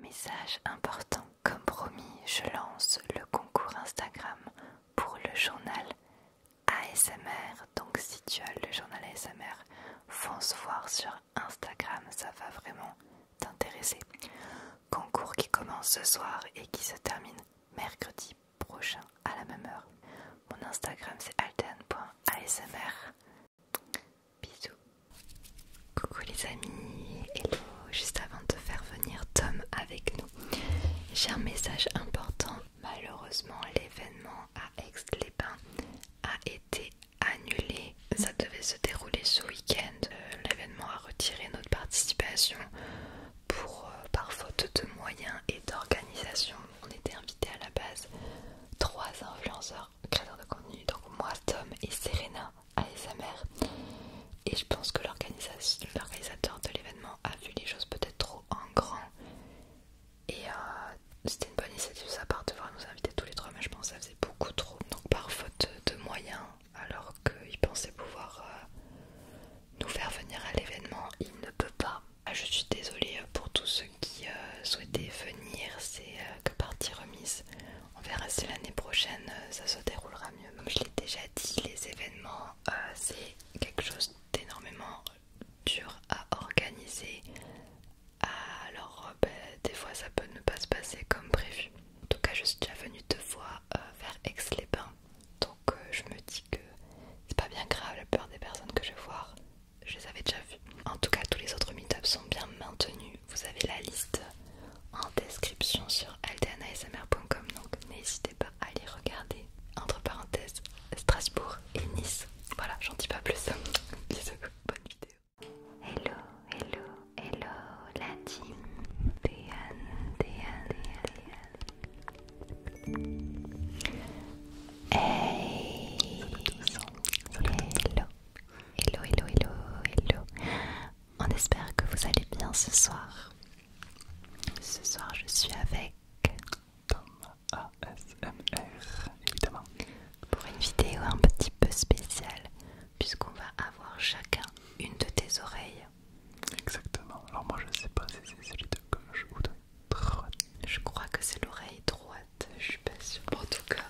Message important, comme promis, je lance le concours Instagram pour le journal ASMR. Donc si tu as le journal ASMR, fonce voir sur Instagram, ça va vraiment t'intéresser. Concours qui commence ce soir et qui se termine mercredi prochain à la même heure. Mon Instagram c'est alten.asmr. Bisous. Coucou les amis, hello. Juste avant de faire venir Tom avec nous, j'ai un message important. Malheureusement, l'événement à Aix-les-Bains a été annulé. Ça devait se dérouler ce week-end. Euh, l'événement a retiré notre participation pour, euh, par faute de moyens et d'organisation. On était invités à la base trois influenceurs créateur de contenu, donc moi, Tom et Serena ASMR. Et je pense que l'organisateur de l'événement a vu les choses peut-être trop en grand. Et euh, c'était une bonne initiative ça, sa part de voir nous inviter tous les trois, mais je pense que ça faisait beaucoup trop. Donc par faute de moyens, alors qu'il pensait pouvoir euh, nous faire venir à l'événement, il ne peut pas. Ah, je suis désolée pour tous ceux qui euh, souhaitaient venir, c'est que partie remise. On verra si l'année prochaine euh, ça se déroulera mieux. Comme je l'ai déjà dit, les événements, euh, c'est quelque chose d'énormément dur à organiser. Alors, euh, ben, des fois, ça peut ne pas se passer comme prévu. En tout cas, je suis déjà venue deux fois vers Aix-les-Bains. Donc, je me dis que c'est pas bien grave, la plupart des personnes que je vais voir, je les avais déjà vues. En tout cas, tous les autres meet sont bien maintenus vous avez la liste en description sur aldanaesamer.com donc n'hésitez pas à aller regarder. Entre parenthèses, Strasbourg et Nice. Voilà, j'en dis pas plus. Bisous, bonne vidéo. Hello, hello, hello la team. Déan, de Hey, hello. Hello, hello, hello, hello. On espère que vous allez bien ce soir. Ce soir, je suis avec Tom ASMR, évidemment, pour une vidéo un petit peu spéciale, puisqu'on va avoir chacun une de tes oreilles. Exactement. Alors moi, je sais pas si c'est celui de gauche ou de droite. Je crois que c'est l'oreille droite. Je suis pas sûre. En tout cas,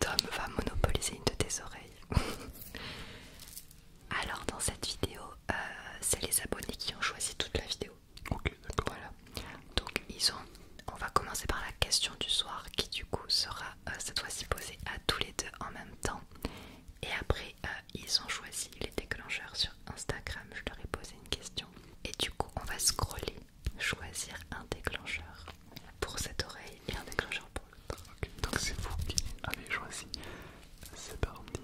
Tom va monopoliser une de tes oreilles. Alors dans cette vidéo, euh, c'est les abonnés qui ont choisi toute la vidéo. Ok, Voilà. Donc ils ont. On va commencer par la question du soir qui du coup sera euh, cette fois-ci posée à tous les deux en même temps. Et après, euh, ils ont choisi les déclencheurs sur Instagram. Je leur ai posé une question. Et du coup, on va scroller, choisir un déclencheur pour cette oreille et un déclencheur pour Ok, donc c'est vous qui avez choisi. C'est parti,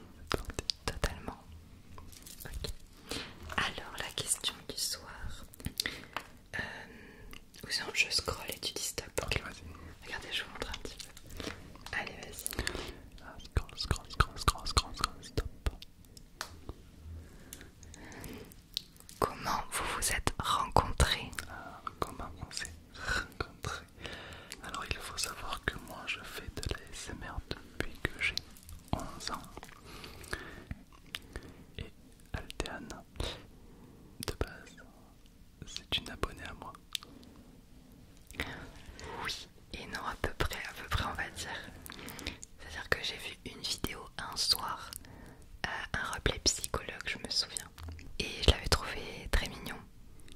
Totalement. Ok Alors la question du soir. Euh, ou sinon je scroll et tu dis stop. Ok, vas-y. Regardez, je vous montre un petit peu. Allez, vas-y. Ah, scroll, scroll, scroll, scroll, scroll, stop. Comment vous vous êtes rencontrés ah, Comment on s'est rencontrer. Alors il faut savoir que moi je fais de la depuis que j'ai 11 ans. Et alterne de base, c'est une abonnée à moi. Oui et non à peu près, à peu près on va dire. C'est-à-dire que j'ai vu une vidéo un soir, à euh, un replay psychologue, je me souviens. Et je l'avais trouvé très mignon.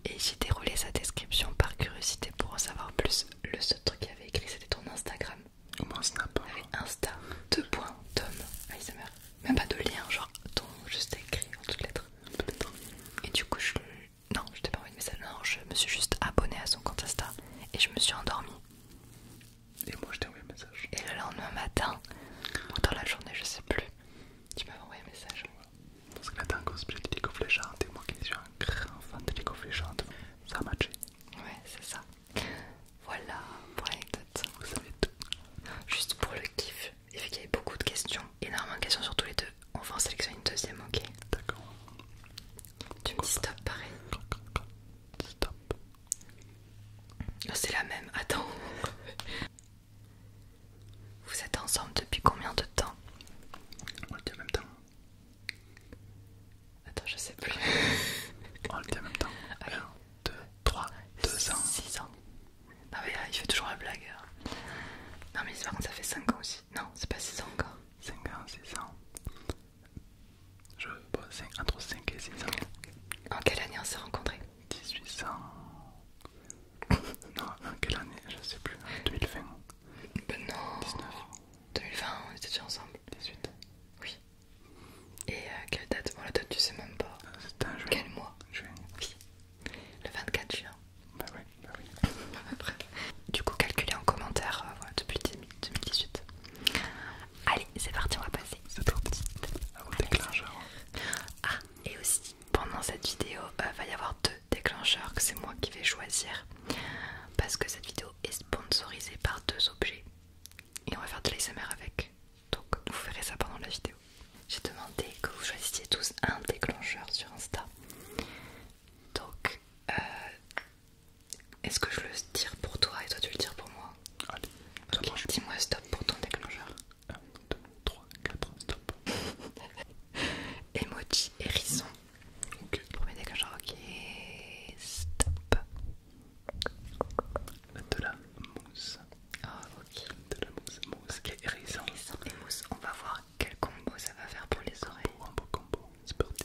Et j'ai déroulé sa description par curiosité pour en savoir plus. Le seul truc qu'il avait écrit, c'était ton Instagram. Ou mon Snap. avait Insta, deux Même pas de lien, genre ton juste écrit en toutes lettres. Et du coup, je. Non, je t'ai pas envoyé de message. Non, je me suis juste abonnée à son compte Insta et je me suis endormie. Et moi, je t'ai envoyé un message. Et le lendemain matin, ou dans la journée, je sais plus, tu peux envoyé un message. Parce que là t'es un cosplay de League hein. et moi qui suis un grand fan de hein. ça a matché. Ouais, c'est ça. Voilà pour l'anecdote. Vous savez tout. Juste pour le kiff, il fait qu'il y avait beaucoup de questions, énormément de questions sur tous les deux, on va en sélectionner une deuxième, ok D'accord. Tu me dis stop pareil. Stop. Oh, c'est la même, attends. Vous êtes ensemble depuis combien de temps On le dit en même temps. Attends, je sais plus. On le dit en même temps. 1, 2, 3, 2 ans. 6 ans. Non mais euh, il fait toujours la blague. Hein. Non mais par contre ça fait 5 ans aussi. Non, c'est pas 6 ans encore. 5 ans, 6 ans. Je... Bon, entre 5 et 6 ans. En quelle année on s'est rencontrés 1800. non, quelle année Je sais plus. 2020. Ben non. 19. 2020, on était déjà ensemble. 18. Oui. Et euh, quelle date Bon, la date, tu sais même pas. C'est euh, C'était un juin. Quel mois Juin. Oui. Le 24 juin. Bah ben oui, bah ben oui. Du coup, calculez en commentaire euh, depuis 2018. Allez, c'est parti, on va passer. C'est parti. À ah, ah, et aussi, pendant cette vidéo il euh, va y avoir deux déclencheurs que c'est moi qui vais choisir parce que cette vidéo est sponsorisée par deux objets et on va faire de l'ASMR avec donc vous ferez ça pendant la vidéo j'ai demandé que vous choisissiez tous un déclencheur sur Insta donc euh, est-ce que je le tire pour toi et toi tu le tires pour moi dis-moi stop pour ton déclencheur 1, 2, 3, 4, stop. Emoji hérisson. Ok. Premier dégageur, ok. Stop. De la mousse. Ah, ok. De la mousse, mousse et hérisson. Hérisson On va voir quel combo ça va faire pour les oreilles. Un beau combo, c'est parti.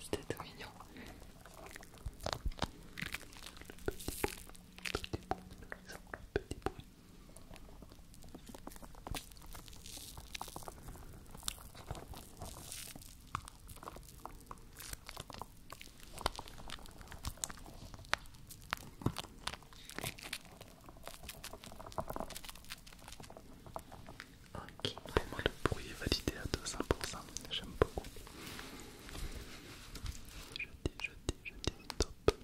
C'était tout mignon. petit Ok, moi, le bruit est validé à 200%, j'aime beaucoup. Je dis, je dis, je dis, top.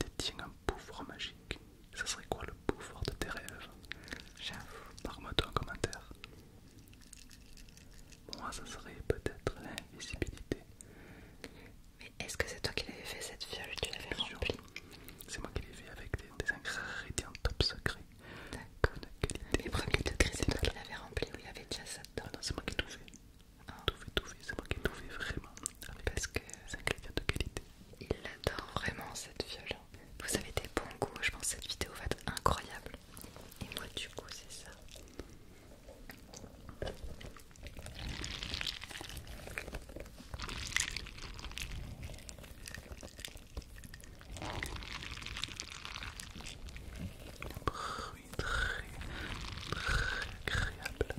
détient un pouvoir magique, ça serait quoi le pouvoir de tes rêves J'avoue. Marque-moi-toi en commentaire. Moi, ça serait peut-être l'invisibilité. Mais est-ce que c'est toi qui l'avais fait cette fiole Tu l'avais remplie C'est moi qui l'ai fait avec des, ingrédients top secret. D'accord. Les de degrés, c'est toi qui l'avais rempli ou il y avait déjà ça dedans c'est moi qui l'ai tout fait tout fait, c'est tout fait, vraiment. Parce que c'est un de qualité. Il adore vraiment cette viole. Vous avez des bons goûts, je pense que cette vidéo va être incroyable. Et moi, du coup, c'est ça. Un bruit très, très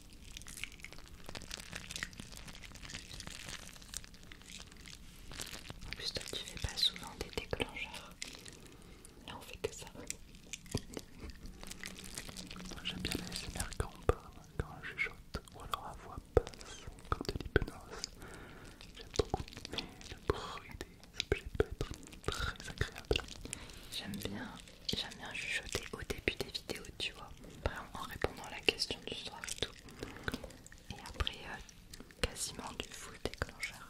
En plus toi tu fais pas souvent des déclencheurs. Là on fait que ça. J'aime bien les SMR quand je chuchote, ou alors la voix basse, comme de l'hypnose. J'aime beaucoup, mais le bruit des objets peut être très agréable. J'aime bien j'aime bien chuchoter au début des vidéos, tu vois, vraiment en répondant à la question du soir et tout. Et après, euh, quasiment du full déclencheur.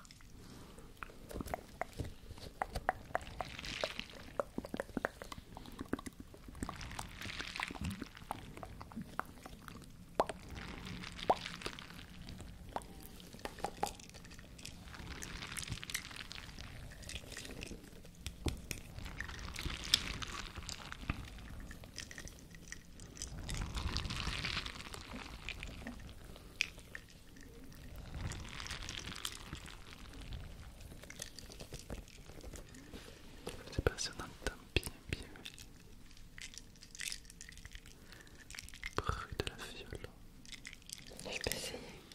C'est passionnant de entend bien bien Bruit de la viole. Je peux essayer.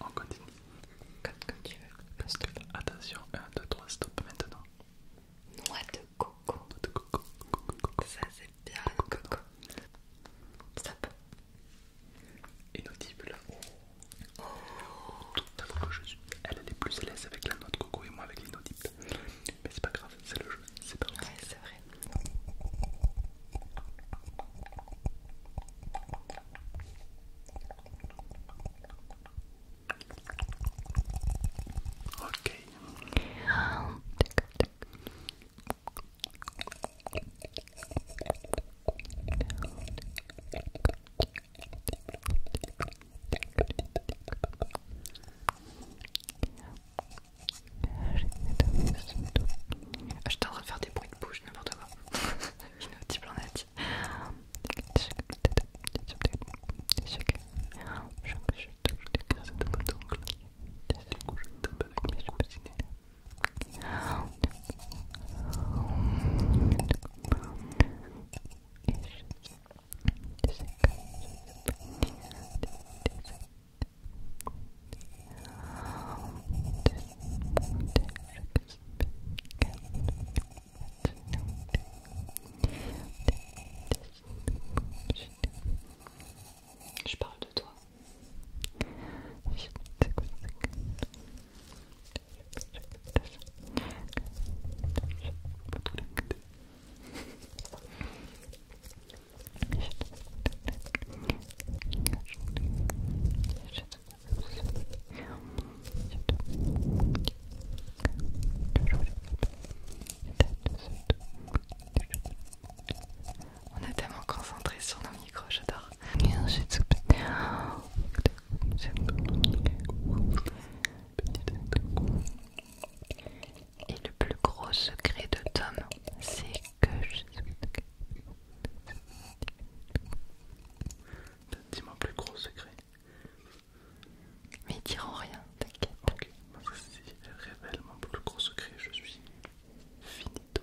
On continue. tu veux. Attention, 1, 2, 3, stop maintenant. Noix de coco. Noix de coco. Ça c'est bien le coco. Stop. Oh. Elle, est plus à l'aise avec la noix de coco et moi avec l'inaudible. Mais c'est pas grave, c'est le jeu. C'est pas c'est vrai. Ok. Ah, J'étais en de faire des bruits de bouche, n'importe quoi. Une on planète. Je parle de toi. On est tellement concentré sur nos micros, j'adore. Et le plus gros secret de Tom, c'est que Dis mon plus gros secret. Mais ils diront rien, t'inquiète. Ok, moi aussi, révèle mon plus gros secret, je suis finito.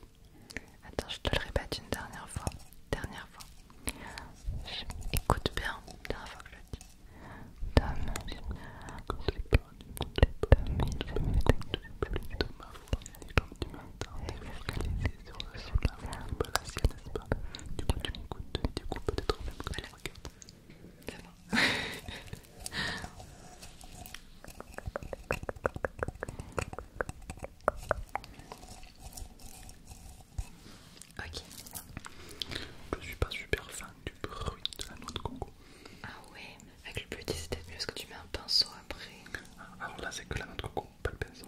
Attends, je te le répète une dernière fois. Dernière fois. Écoute bien, dernière fois que je le dis les du pas Du coup, tu m'écoutes, tu du coup, peut-être même que tu regardes. Vraiment. Ok. Je suis pas super fan du bruit de la noix de coco. Ah ouais, avec le petit c'était mieux parce que tu mets un pinceau après. Ah, alors là c'est que la noix de coco, pas le pinceau.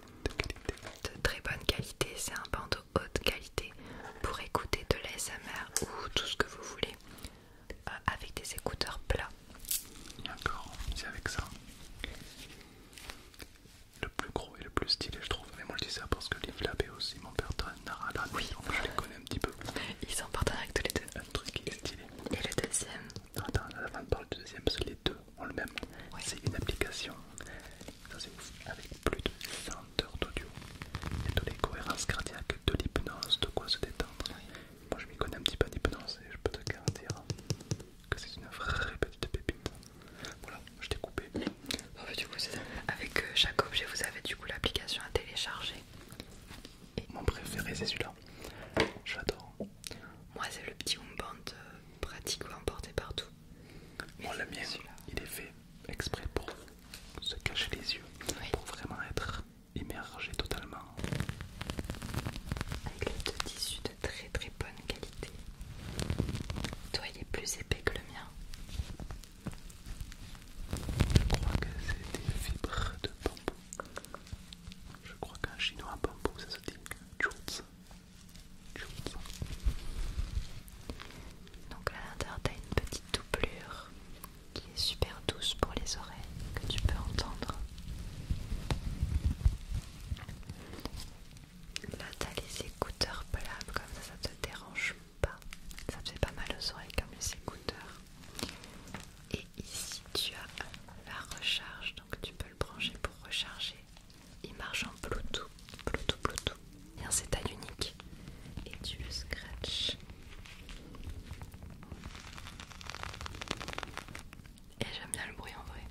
de très bonne qualité, c'est un bandeau haute qualité pour écouter de l'ASMR ou tout ce que vous voulez euh, avec des écouteurs plats. D'accord, c'est avec ça. Le plus gros et le plus stylé, je trouve. Mais moi je dis ça parce que les Lab aussi mon père Narala, oui. je les connais un petit peu. Ils sont partenaires avec tous les deux. Un truc qui est stylé. Et le deuxième Attends, avant de parler du deuxième, c'est les deux même. C'est une application, avec plus de 100 heures d'audio et de les cohérences cardiaques, de l'hypnose, de quoi se détendre. Moi je m'y connais un petit peu d'hypnose et je peux te garantir que c'est une vraie petite pépite. Voilà, je t'ai coupé. avec euh, chaque objet, vous avez du coup l'application à télécharger. Mon préféré c'est celui-là, Je l'adore. Moi c'est le petit Wombant euh, pratique à emporter partout. Bon, le mien, il est fait exprès pour se cacher les yeux, pour vraiment être immergé totalement. Avec les deux tissus de très très bonne qualité. Toi, il est plus épais que le mien. Je crois que c'est des fibres de bambou. Je crois qu'un chinois bambou, ça se dit donc à l'intérieur as une petite doublure qui est super douce pour les oreilles que tu peux entendre. Là tu as les écouteurs plats comme ça ça te dérange pas. Ça te fait pas mal aux oreilles comme les écouteurs. Et ici tu as la recharge donc tu peux le brancher pour recharger il marche en Bluetooth, Bluetooth, Bluetooth. Et c'est taille unique. Et tu le scratches. Et j'aime bien le bruit en vrai.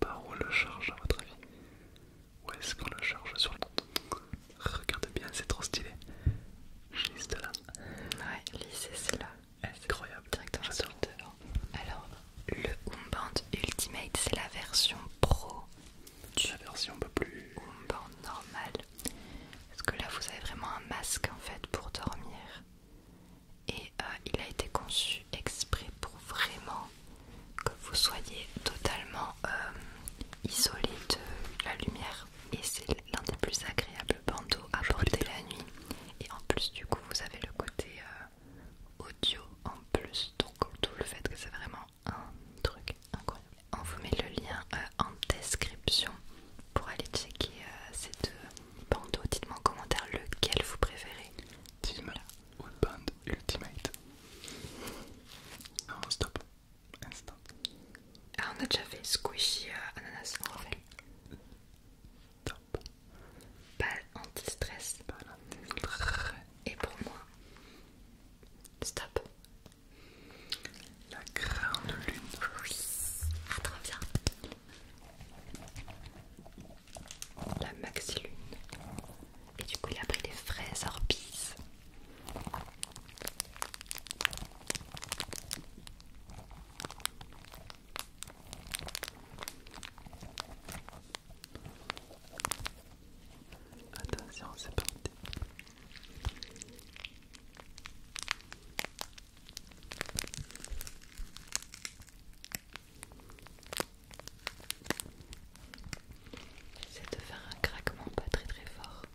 Par où le charge à votre avis Où est-ce qu'on le charge sur le Regarde bien, c'est trop stylé. Juste là. Ouais, lisez c'est là. Incroyable. Directement sur le Alors, le Umband Ultimate, c'est la version pro. la version un peu plus. Umband normal. Parce que là, vous avez vraiment un masque en fait pour dormir. Et euh, il a été conçu exprès pour vraiment que vous soyez totalement euh, isolé de la lumière et c'est l'un des plus agréables bandeaux à porter la nuit et en plus du coup vous avez le côté euh, audio en plus donc tout le fait que c'est vraiment un truc incroyable. On vous met le lien euh, en description pour aller checker euh, ces deux bandeaux. Dites-moi en commentaire lequel vous préférez. Team Ultimate. stop. Ah, on a déjà fait squishy euh, ananas en Stop. Top. anti-stress. anti Et pour moi, stop. La grande lune. Ah, bien. La maxi lune. Et du coup, il a pris des fraises orbises. Attention, c'est parti. C'est de faire un craquement pas très très fort.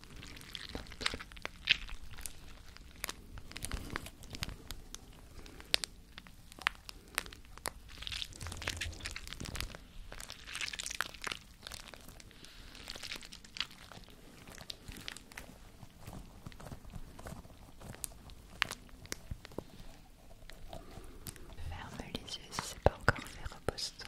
Ferme les yeux si c'est pas encore fait, repose-toi.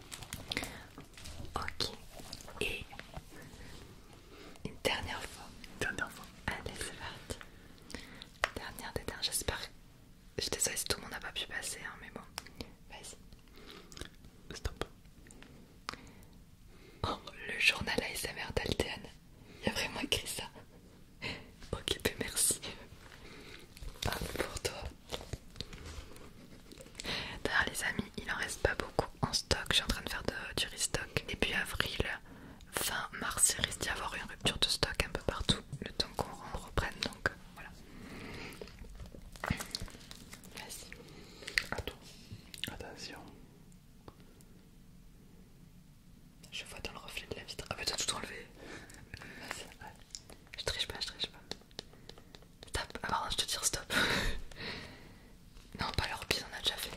Ok. Et une dernière fois. Une dernière fois. Allez, c'est parti. Dernière dernières, j'espère. Je désolée si tout le monde n'a pas pu passer, hein, mais bon. Vas-y. Stop. Oh, le journal ASMR d'Altean. Il a vraiment écrit ça. Ok, ben merci. pour toi. D'ailleurs les amis, il en reste pas beaucoup en stock, je suis en train de faire du restock. Et puis avril, fin mars, il risque d'y avoir une rupture de stock un peu partout, le temps qu'on reprenne donc euh, voilà. Vas-y. Attends. Attention. Je vois dans le reflet de la vitre. Ah bah t'as tout enlevé. Je triche pas, je triche pas. Stop. Alors ah, je te dis stop. non, pas l'orbite, on a déjà fait.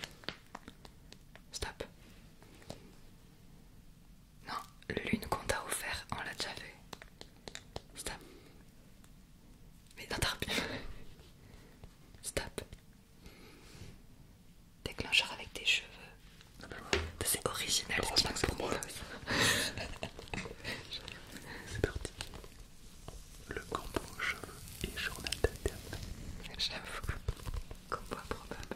Stop. Non, le l'une qu'on t'a offert, on l'a déjà fait. Stop. Mais n'interpelle. Stop. Déclencheur avec tes cheveux. Ah bah c'est original. C'est parti. Le combo cheveux et journal d'interne. J'avoue, combo improbable.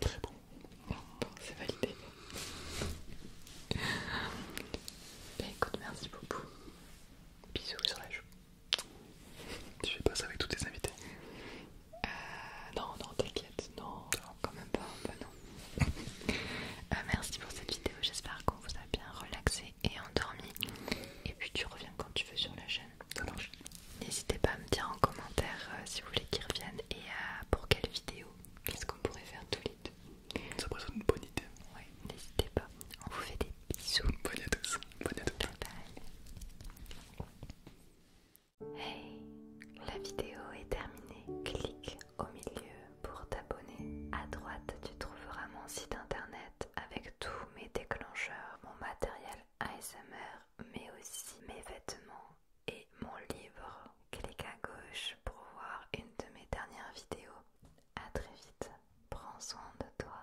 Très bon. c'est validé. Bah, écoute, merci beaucoup. Bisous sur la joue. Tu fais pas ça avec tous tes invités euh, Non, non, t'inquiète, non, quand même pas, non. Euh, merci pour cette vidéo, j'espère qu'on vous a bien relaxé et endormi. Et puis tu reviens quand tu veux sur la chaîne. N'hésitez pas à me dire en commentaire euh, si vous voulez qu'ils reviennent et à pour quelle vidéo. Qu'est-ce qu'on pourrait faire tout les deux Ça pourrait être une bonne idée. Oui, n'hésitez pas. On vous fait des à tous. Hey, la vidéo est terminée. Clique au milieu pour t'abonner. À droite, tu trouveras mon site internet avec tous mes déclencheurs, mon matériel ASMR, mais aussi mes vêtements et mon livre. Clique à gauche pour voir une de mes dernières vidéos. À très vite. Prends soin de toi.